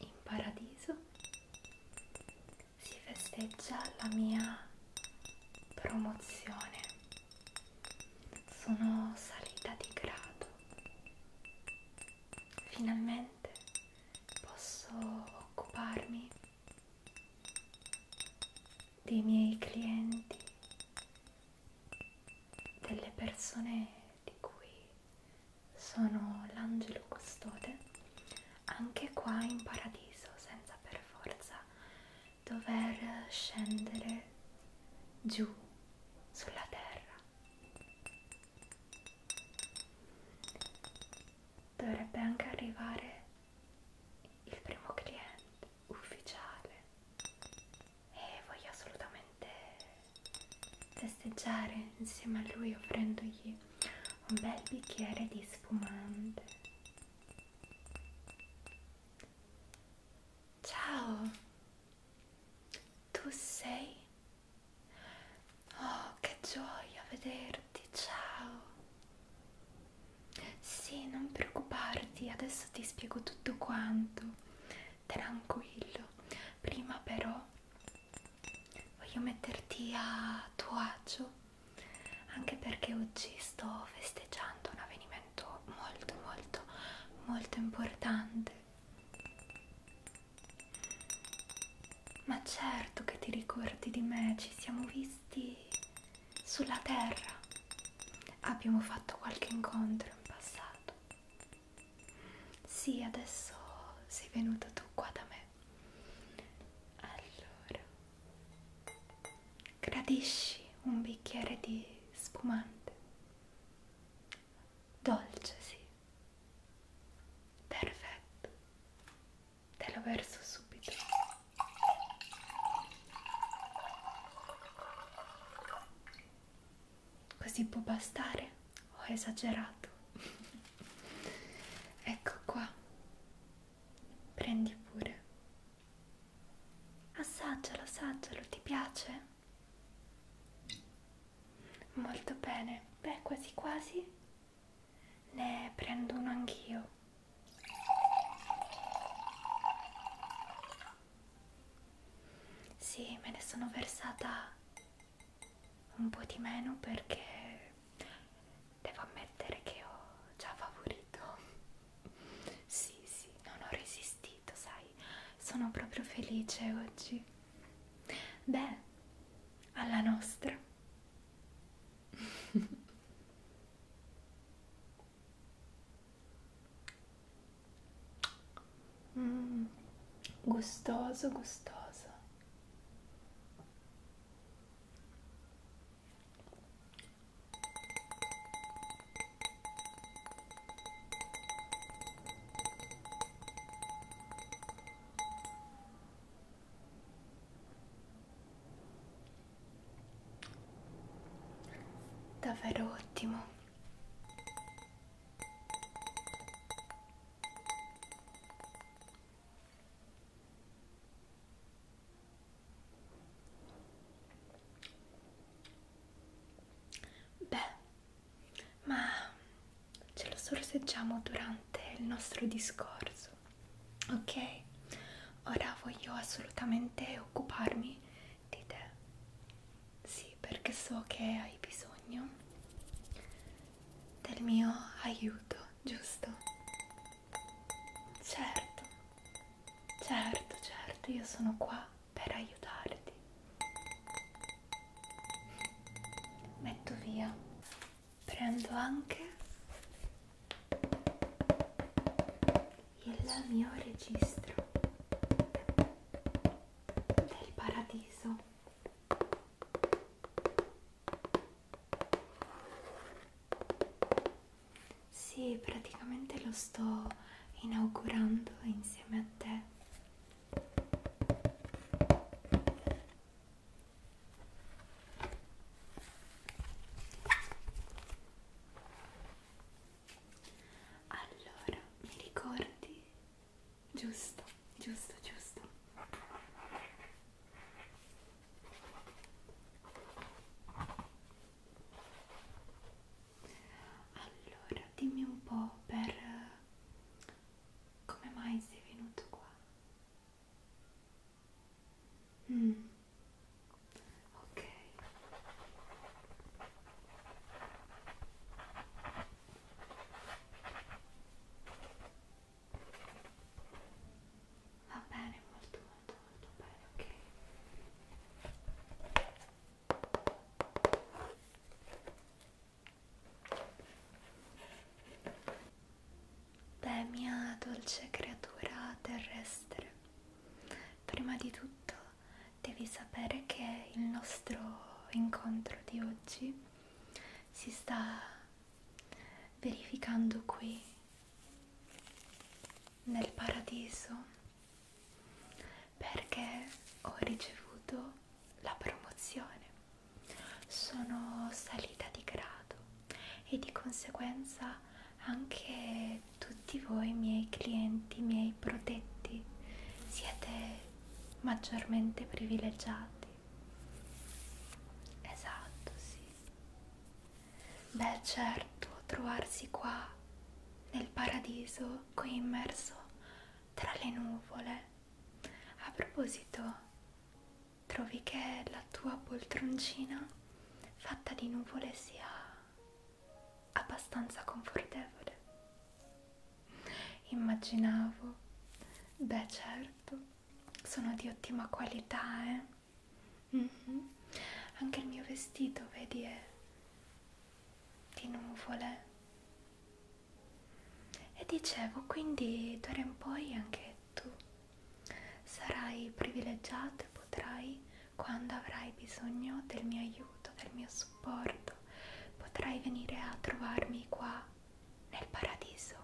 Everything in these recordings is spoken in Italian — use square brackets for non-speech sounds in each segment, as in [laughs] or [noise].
in paradiso si festeggia la mia promozione. Sono salita di grado. Finalmente posso occuparmi dei miei clienti, delle persone di cui sono l'angelo custode anche qua in paradiso senza per forza dover scendere giù sulla terra dovrebbe anche arrivare il primo cliente ufficiale e voglio assolutamente festeggiare insieme a lui offrendogli un bel bicchiere di spumante ciao tu sei oh che gioia vederti ciao sì non preoccuparti adesso ti spiego tutto quanto tranquillo prima però voglio metterti a tuo agio anche perché oggi sto festeggiando un avvenimento molto molto molto importante ma certo che ti ricordi di me ci siamo visti sulla terra abbiamo fatto qualche incontro in passato sì, adesso sei venuto tu qua da me. Allora, gradisci un bicchiere di spumante? Dolce, sì. Perfetto. Te lo verso subito. Così può bastare? ho esagerato ecco qua prendi pure assaggialo assaggialo ti piace molto bene beh quasi quasi ne prendo uno anch'io sì, me ne sono versata un po' di meno perché devo ammettere che ho già favorito sì sì non ho resistito sai sono proprio felice oggi beh alla nostra [laughs] Mm, gustoso, gustoso. Davvero ottimo. Beh, ma ce lo sorseggiamo durante il nostro discorso, ok? Ora voglio assolutamente occuparmi di te. Sì, perché so che hai bisogno del mio aiuto, giusto? Certo, certo, certo, io sono qua per aiutarti. Metto via, prendo anche il mio registro del paradiso sì, praticamente lo sto inaugurando insieme a te. Allora, mi ricordi giusto, giusto, giusto. Allora, dimmi un po' per come mai sei venuto qua. Mm. Ok. Va bene, molto molto molto bene, ok. Beh, mia dolce creatura terrestre, prima di tutto devi sapere che il nostro incontro di oggi si sta verificando qui nel paradiso perché ho ricevuto la promozione sono salita di grado e di conseguenza anche tutti voi miei clienti miei protetti siete maggiormente privilegiati. Esatto, sì. Beh, certo, trovarsi qua nel paradiso, qui immerso tra le nuvole. A proposito, trovi che la tua poltroncina fatta di nuvole sia abbastanza confortevole? Immaginavo, beh certo, sono di ottima qualità, eh? Mm -hmm. Anche il mio vestito, vedi, è di nuvole. E dicevo, quindi d'ora in poi anche tu sarai privilegiato e potrai, quando avrai bisogno del mio aiuto, del mio supporto, supporto, potrai venire a trovarmi qua nel paradiso.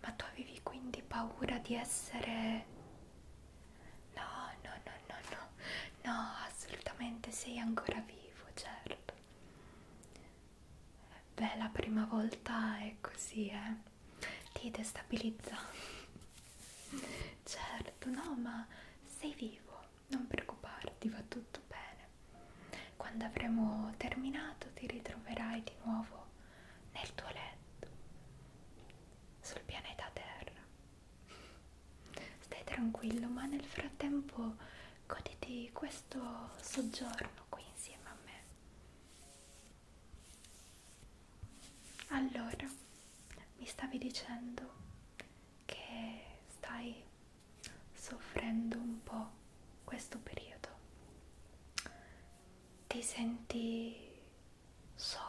Ma tu avevi quindi paura di essere... No, no, no, no, no, no, assolutamente sei ancora vivo, certo. Beh, la prima volta è così, eh? Ti destabilizza. [laughs] Certo, no, ma sei vivo non preoccuparti, va tutto bene. Quando avremo terminato ti ritroverai di nuovo nel tuo letto, sul pianeta Terra. Stai tranquillo, ma nel frattempo goditi questo soggiorno qui insieme a me. Allora, mi stavi dicendo che stai soffrendo un po' questo periodo. Ti senti solo.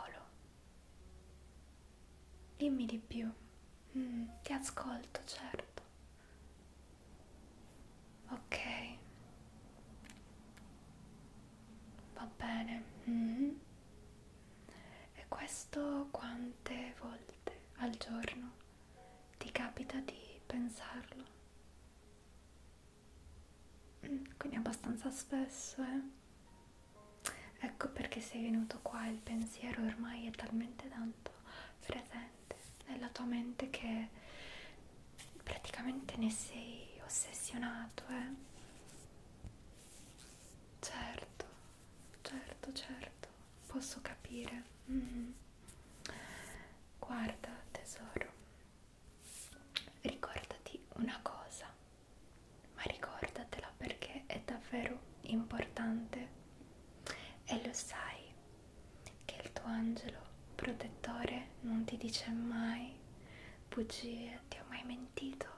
Dimmi di più. Mm, ti ascolto, certo. Ok. Va bene. Mm -hmm. E questo quante volte al giorno ti capita di pensarlo? Mm, quindi abbastanza spesso, eh? Ecco perché sei venuto qua, il pensiero ormai è talmente tanto presente nella tua mente che praticamente ne sei ossessionato, eh? Certo, certo, certo, posso capire. Mm. Guarda, tesoro, ricordati una cosa, ma ricordatela perché è davvero importante e lo sai che il tuo angelo protettore non ti dice mai bugie, ti ho mai mentito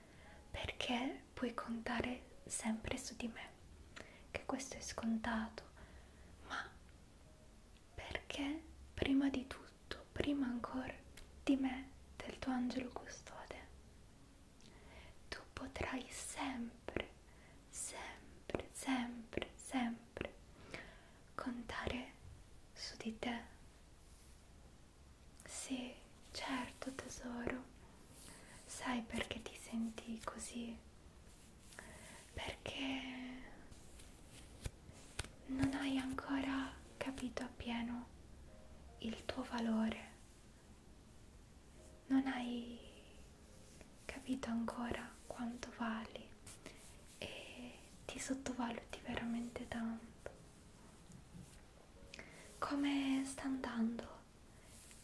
perché puoi contare sempre su di me, che questo è scontato, ma perché prima di tutto, prima ancora di me, del tuo angelo custode, tu potrai sempre, sempre, sempre, sempre contare su di te sì, certo tesoro. Sai perché ti senti così? Perché non hai ancora capito appieno il tuo valore. Non hai capito ancora quanto vali e ti sottovaluti veramente tanto. Come sta andando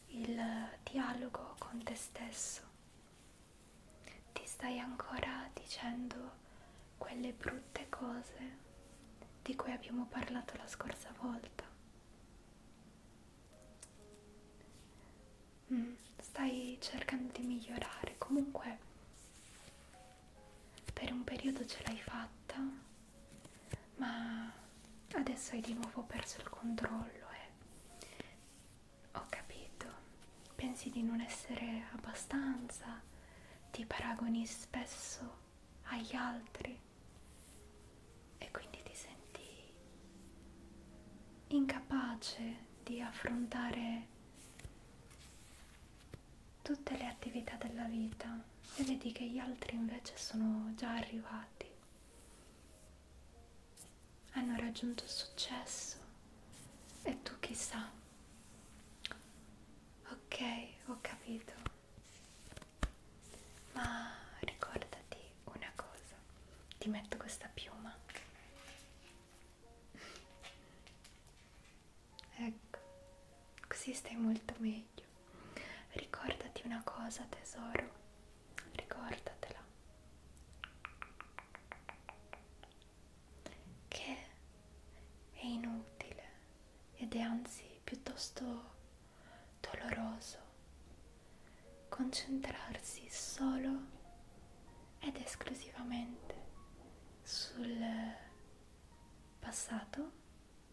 il dialogo con te stesso? Ti stai ancora dicendo quelle brutte cose di cui abbiamo parlato la scorsa volta? Mm, stai cercando di migliorare, comunque per un periodo ce l'hai fatta, ma adesso hai di nuovo perso il controllo e eh. ho capito, pensi di non essere abbastanza, ti paragoni spesso agli altri e quindi ti senti incapace di affrontare tutte le attività della vita e vedi che gli altri invece sono già arrivati, hanno raggiunto successo e tu chissà, ok, ho capito, ma ricordati una cosa, ti metto questa piuma Ecco, così stai molto meglio. Ricordati una cosa, tesoro, ricordatela. Che è inutile ed è anzi piuttosto doloroso concentrarsi solo ed esclusivamente sul passato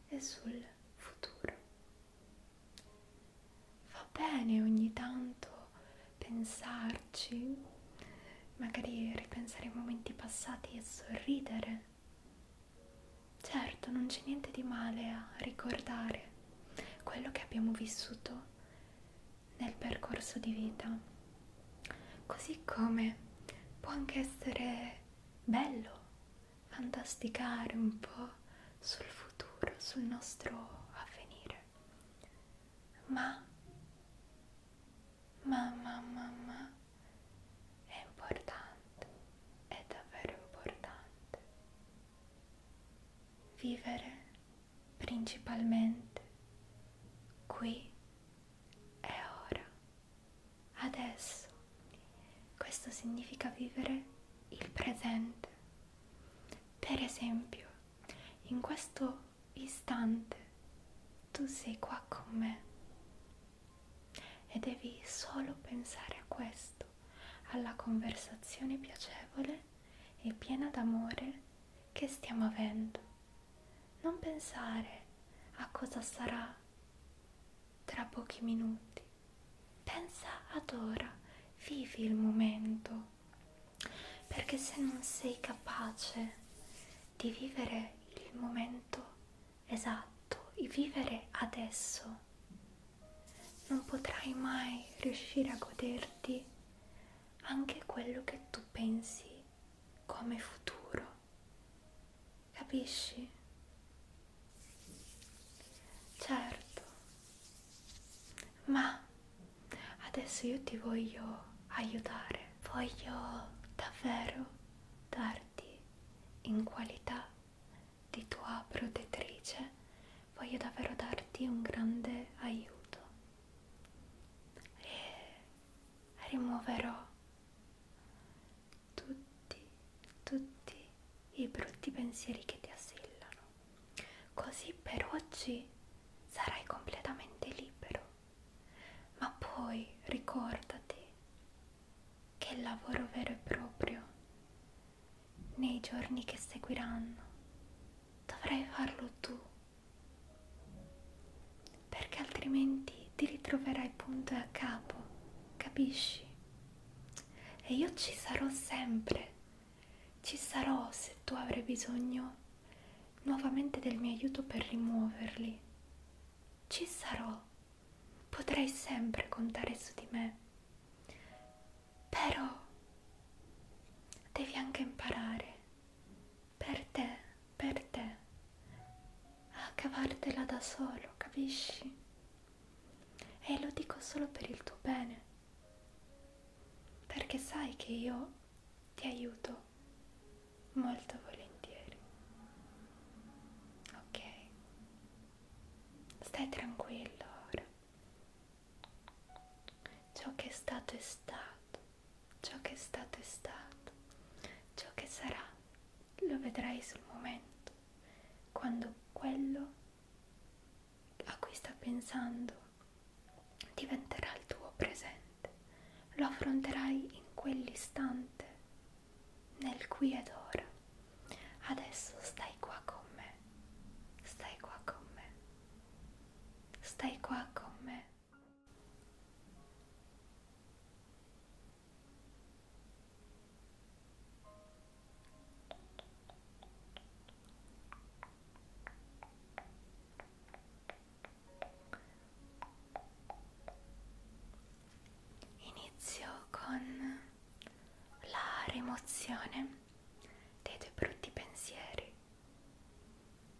e sul futuro. Va bene ogni tanto pensarci, magari ripensare ai momenti passati e sorridere. Certo, non c'è niente di male a ricordare quello che abbiamo vissuto nel percorso di vita. Così come può anche essere bello fantasticare un po' sul futuro, sul nostro avvenire. Ma, ma, ma, ma, ma, è importante, è davvero importante vivere principalmente qui e ora adesso. Questo significa vivere il presente. Per esempio, in questo istante tu sei qua con me e devi solo pensare a questo, alla conversazione piacevole e piena d'amore che stiamo avendo. Non pensare a cosa sarà tra pochi minuti. Pensa ad ora, vivi il momento, perché se non sei capace di vivere il momento esatto, di vivere adesso, non potrai mai riuscire a goderti anche quello che tu pensi come futuro. Capisci? Certo, ma adesso io ti voglio aiutare, voglio davvero darti in qualità di tua protettrice, voglio davvero darti un grande aiuto e rimuoverò tutti, tutti i brutti pensieri che ti assillano. Così per oggi sarai completamente libero. Ma poi ricordati che il lavoro vero e proprio nei giorni che seguiranno dovrai farlo tu perché altrimenti ti ritroverai punto e a capo, capisci? E io ci sarò sempre, ci sarò se tu avrai bisogno nuovamente del mio aiuto per rimuoverli. Ci sarò, potrai sempre contare su di me. Però devi anche imparare per te, per te, a cavartela da solo, capisci? E lo dico solo per il tuo bene, perché sai che io ti aiuto molto volentieri. Ok? Stai tranquillo ora. Ciò che è stato è stato ciò che è stato è stato, ciò che sarà lo vedrai sul momento, quando quello a cui sta pensando diventerà il tuo presente, lo affronterai in quell'istante, nel qui ed ora. Adesso stai qua con me, stai qua con me, stai qua con me. Inizio con la rimozione dei tuoi brutti pensieri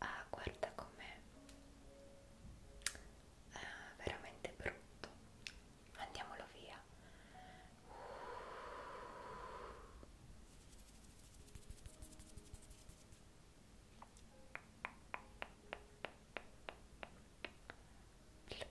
Ah, guarda com'è ah, veramente brutto. Andiamolo via. Pluck.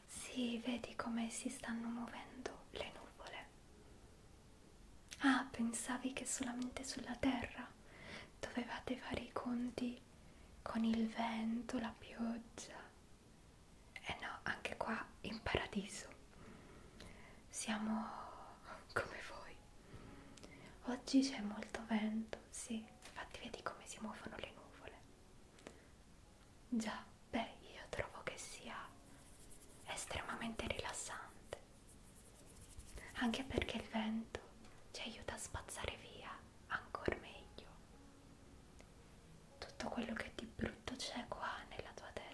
Sì, vedi come si stanno muovendo le nuvole. Ah, pensavi che solamente sulla Terra dovevate fare i conti con il vento, la pioggia. Eh no, anche qua in paradiso. Siamo come voi. Oggi c'è molto vento, sì, infatti vedi come si muovono le nuvole. Già, beh, io trovo che sia estremamente rilassante, anche perché il vento ci aiuta a spazzare via ancora meglio tutto quello che di brutto c'è qua nella tua testa.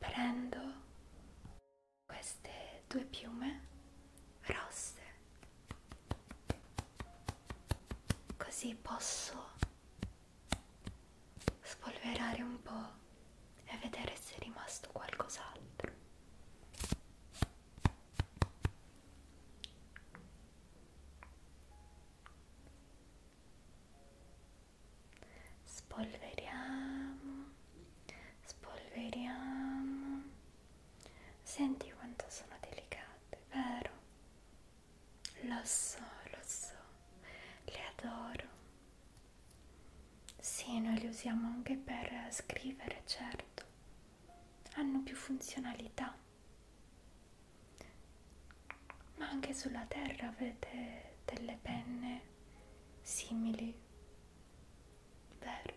Prendo queste due piume rosse, così posso spolverare un po' e vedere se è rimasto qualcos'altro. Spolveriamo, spolveriamo. Senti quanto sono delicate, vero? Lo so, lo so, le adoro. Sì, noi le usiamo anche per scrivere, certo. Hanno più funzionalità. Ma anche sulla terra avete delle penne simili, vero?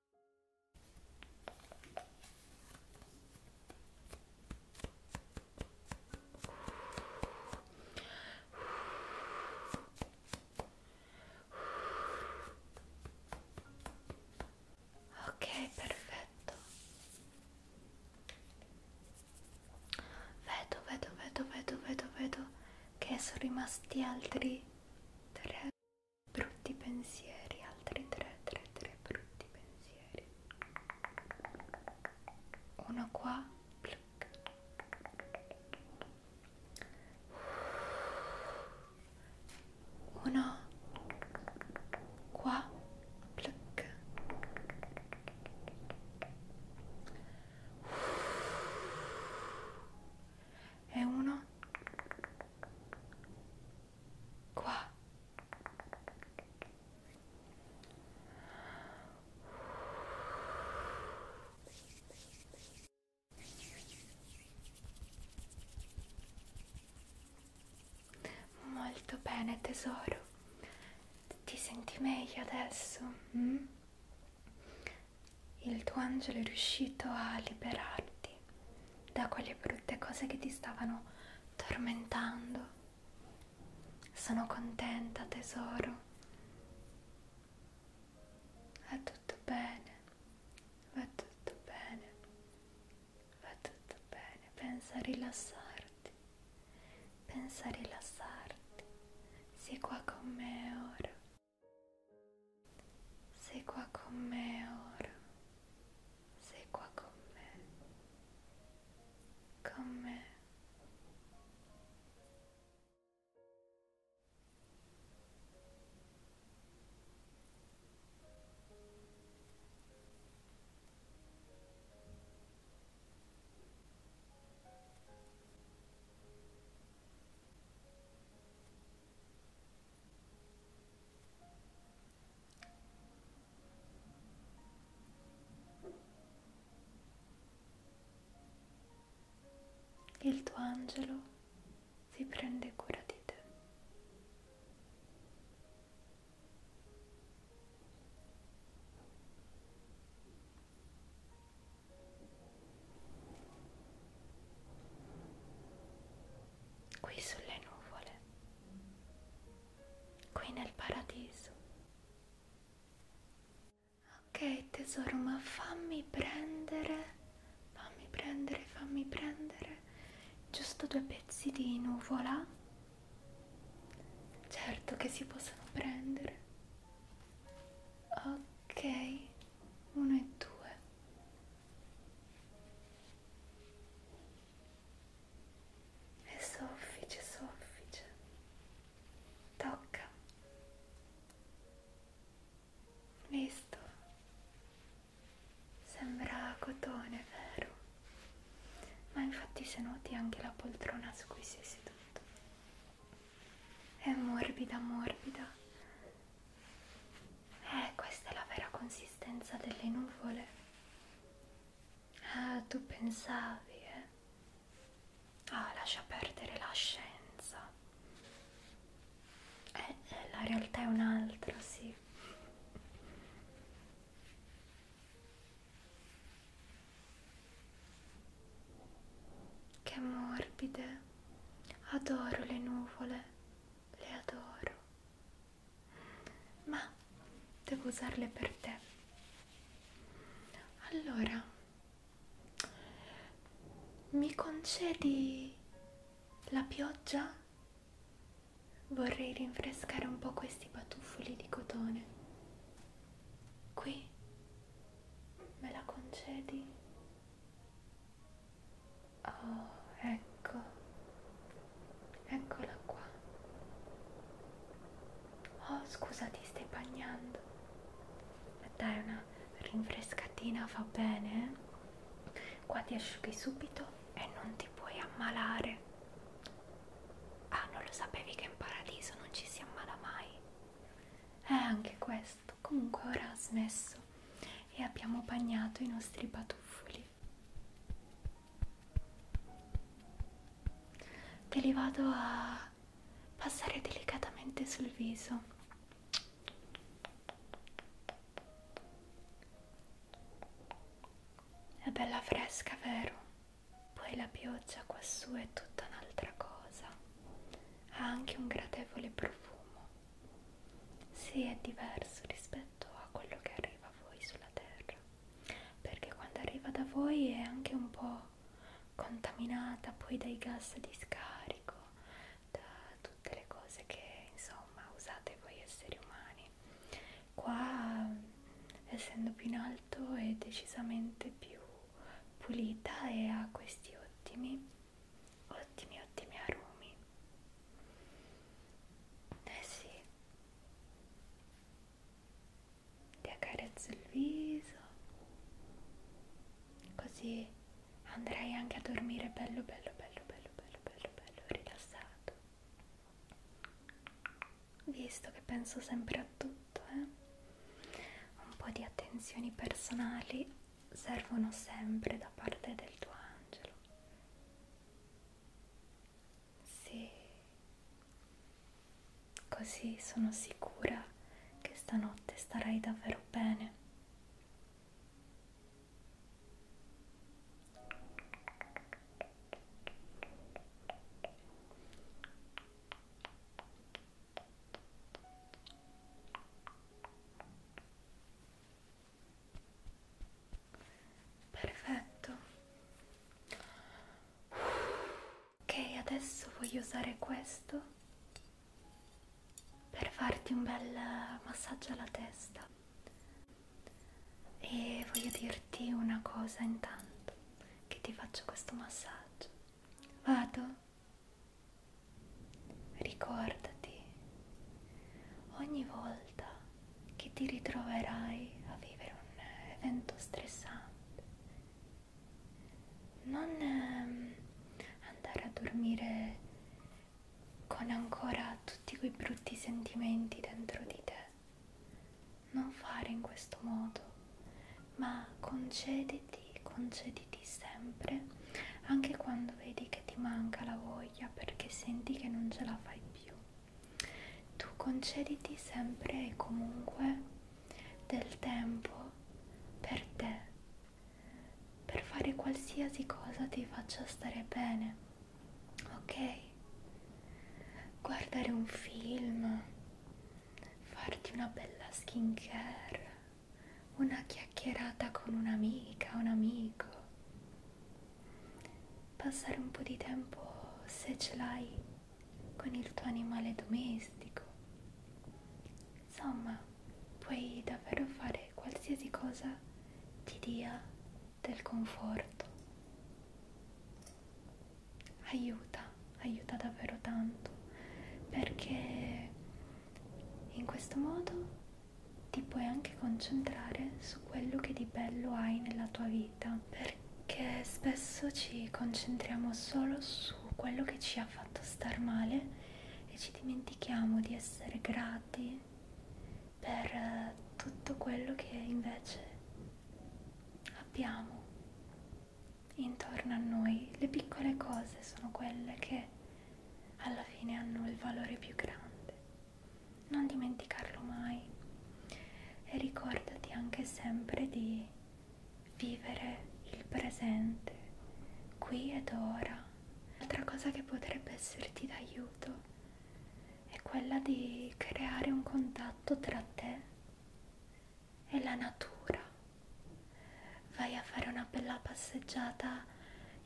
Ok, perfetto. Vedo, vedo, vedo, vedo, vedo, vedo che sono rimasti altri tre brutti pensieri altri 3 3 3 brutti pensieri uno qua pluck. uno qua pluck. e uno qua molto bene tesoro ti senti meglio adesso hm? il tuo angelo è riuscito a liberarti liberarti da quelle brutte cose che ti stavano tormentando. Sono contenta, tesoro. Va tutto bene, va tutto bene, va tutto bene. Pensa a rilassarti, pensa a rilassarti. Sei qua con me ora. Sei qua con me ora sei qua con me, con me. Il tuo angelo si prende cura di te qui sulle nuvole, qui nel paradiso. Ok tesoro, ma fammi prendere, fammi prendere, fammi prendere giusto due pezzi di nuvola. Certo che si possono prendere. Ok, uno e due è soffice, soffice, tocca, visto, sembra cotone, vero? Ma infatti se noti anche la poltrona su cui sei seduto, è morbida, morbida. Eh, questa è la vera consistenza delle nuvole. Ah, tu pensavi, eh? Ah, lascia perdere la scienza. Eh, eh la realtà è un'altra, sì. Che morbide. Adoro le nuvole, le adoro ma devo usarle per te allora mi concedi la pioggia vorrei rinfrescare un po questi batuffoli di cotone qui me la concedi Oh, ecco, eccola qua. Oh, scusa, ti stai bagnando. Dai una rinfrescatina, fa bene. Eh? Qua ti asciughi subito e non ti puoi ammalare. Ah, non lo sapevi che in paradiso non ci si ammala mai. Eh, anche questo. Comunque ora ha smesso e abbiamo bagnato i nostri patuffoli. Te li vado a passare delicatamente sul viso. È bella fresca, vero? Poi la pioggia quassù è tutta un'altra cosa. Ha anche un gradevole profumo se è diverso rispetto a quello che arriva a voi sulla terra perché quando arriva da voi è anche un po' contaminata poi dai gas di scarico da tutte le cose che insomma usate voi esseri umani qua essendo più in alto è decisamente più pulita e ha questi ottimi ottimi ottimi arumi eh sì ti accarezzo il viso così andrai anche a dormire bello bello bello bello bello bello bello rilassato visto che penso sempre a tutto eh? un po' di attenzioni personali servono sempre da parte del tuo angelo. Sì, così sono sicura che stanotte starai davvero bene perfetto ok adesso voglio usare questo per farti un bel massaggio alla testa e voglio dirti una cosa intanto che ti faccio questo massaggio vado Ricordati ogni volta che ti ritroverai a vivere un eh, evento stressante, non ehm, andare a dormire con ancora tutti quei brutti sentimenti dentro di te. Non fare in questo modo, ma concediti, concediti lì sempre anche quando vedi che ti manca la voglia perché senti che non ce la fai più tu concediti sempre e comunque del tempo per te per fare qualsiasi cosa ti faccia stare bene ok guardare un film farti una bella skin care una chiacchierata con un'amica, un amico, passare un po' di tempo se ce l'hai con il tuo animale domestico. Insomma, puoi davvero fare qualsiasi cosa ti dia del conforto. Aiuta, aiuta davvero tanto perché in questo modo ti puoi anche concentrare su quello che di bello hai nella tua vita, perché spesso ci concentriamo solo su quello che ci ha fatto star male e ci dimentichiamo di essere grati per eh, tutto quello che invece abbiamo intorno a noi. Le piccole cose sono quelle che alla fine hanno il valore più grande. Non dimenticarlo mai e ricordati anche sempre di vivere il presente, qui ed ora. L'altra cosa che potrebbe esserti d'aiuto è quella di creare un contatto tra te e la natura vai a fare una bella passeggiata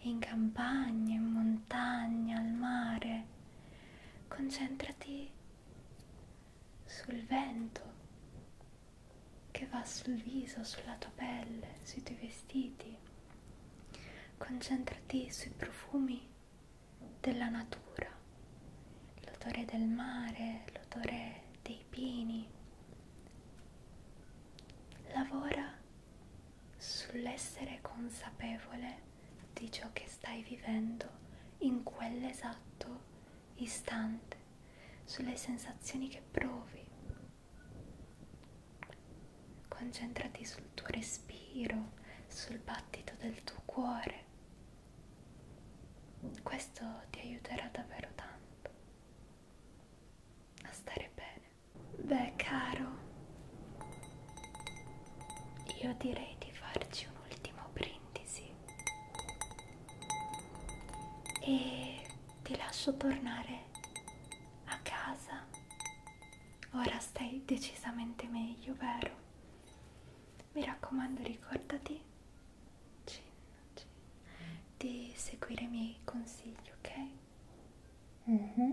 in campagna, in montagna, al mare. Concentrati sul vento che va sul viso, sulla tua pelle, sui tuoi vestiti. Concentrati sui profumi della natura, l'odore del mare, l'odore dei pini. Lavora sull'essere consapevole di ciò che stai vivendo in quell'esatto istante, sulle sensazioni che provi. Concentrati sul tuo respiro, sul battito del tuo cuore. Questo ti aiuterà davvero tanto a stare bene. Beh, caro, io direi di farci un ultimo brindisi e ti lascio tornare a casa. Ora stai decisamente meglio, vero? Mi raccomando, ricordati cin, cin, di seguire i miei consigli, ok? Mm -hmm.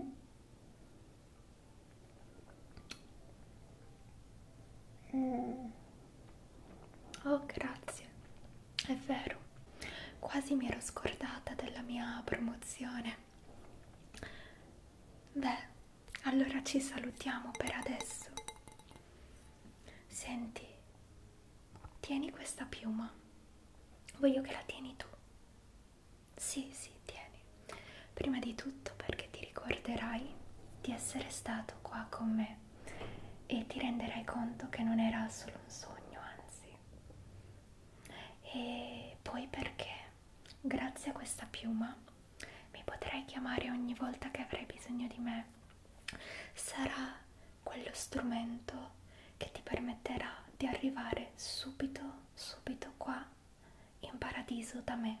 mm. Oh, grazie. È vero. Quasi mi ero scordata della mia promozione. Beh, allora ci salutiamo per adesso. Senti, tieni questa piuma, voglio che la tieni tu. Sì, sì, tieni. Prima di tutto perché ti ricorderai di essere stato qua con me e ti renderai conto che non era solo un sogno, anzi. E poi perché grazie a questa piuma mi potrai chiamare ogni volta che avrai bisogno di me. Sarà quello strumento che ti permetterà di arrivare subito, subito qua in paradiso da me.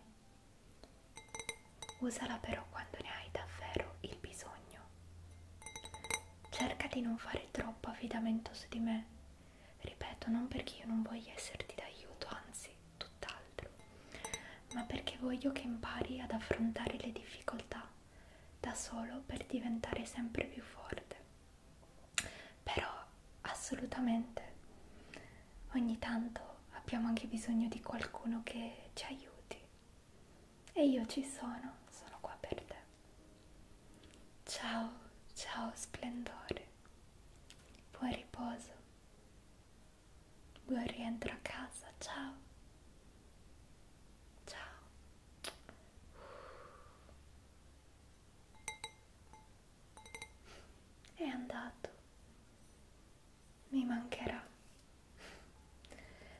Usala però quando ne hai davvero il bisogno. Cerca di non fare troppo affidamento su di me. Ripeto, non perché io non voglia esserti d'aiuto, anzi, tutt'altro, ma perché voglio che impari ad affrontare le difficoltà da solo per diventare sempre più forte. Però assolutamente ogni tanto abbiamo anche bisogno di qualcuno che ci aiuti e io ci sono, sono qua per te. Ciao, ciao splendore, buon riposo, buon rientro a casa, ciao, ciao. È andato. Mi mancherà.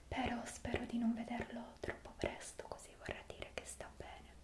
Però spero di non vederlo troppo presto, così vorrà dire che sta bene.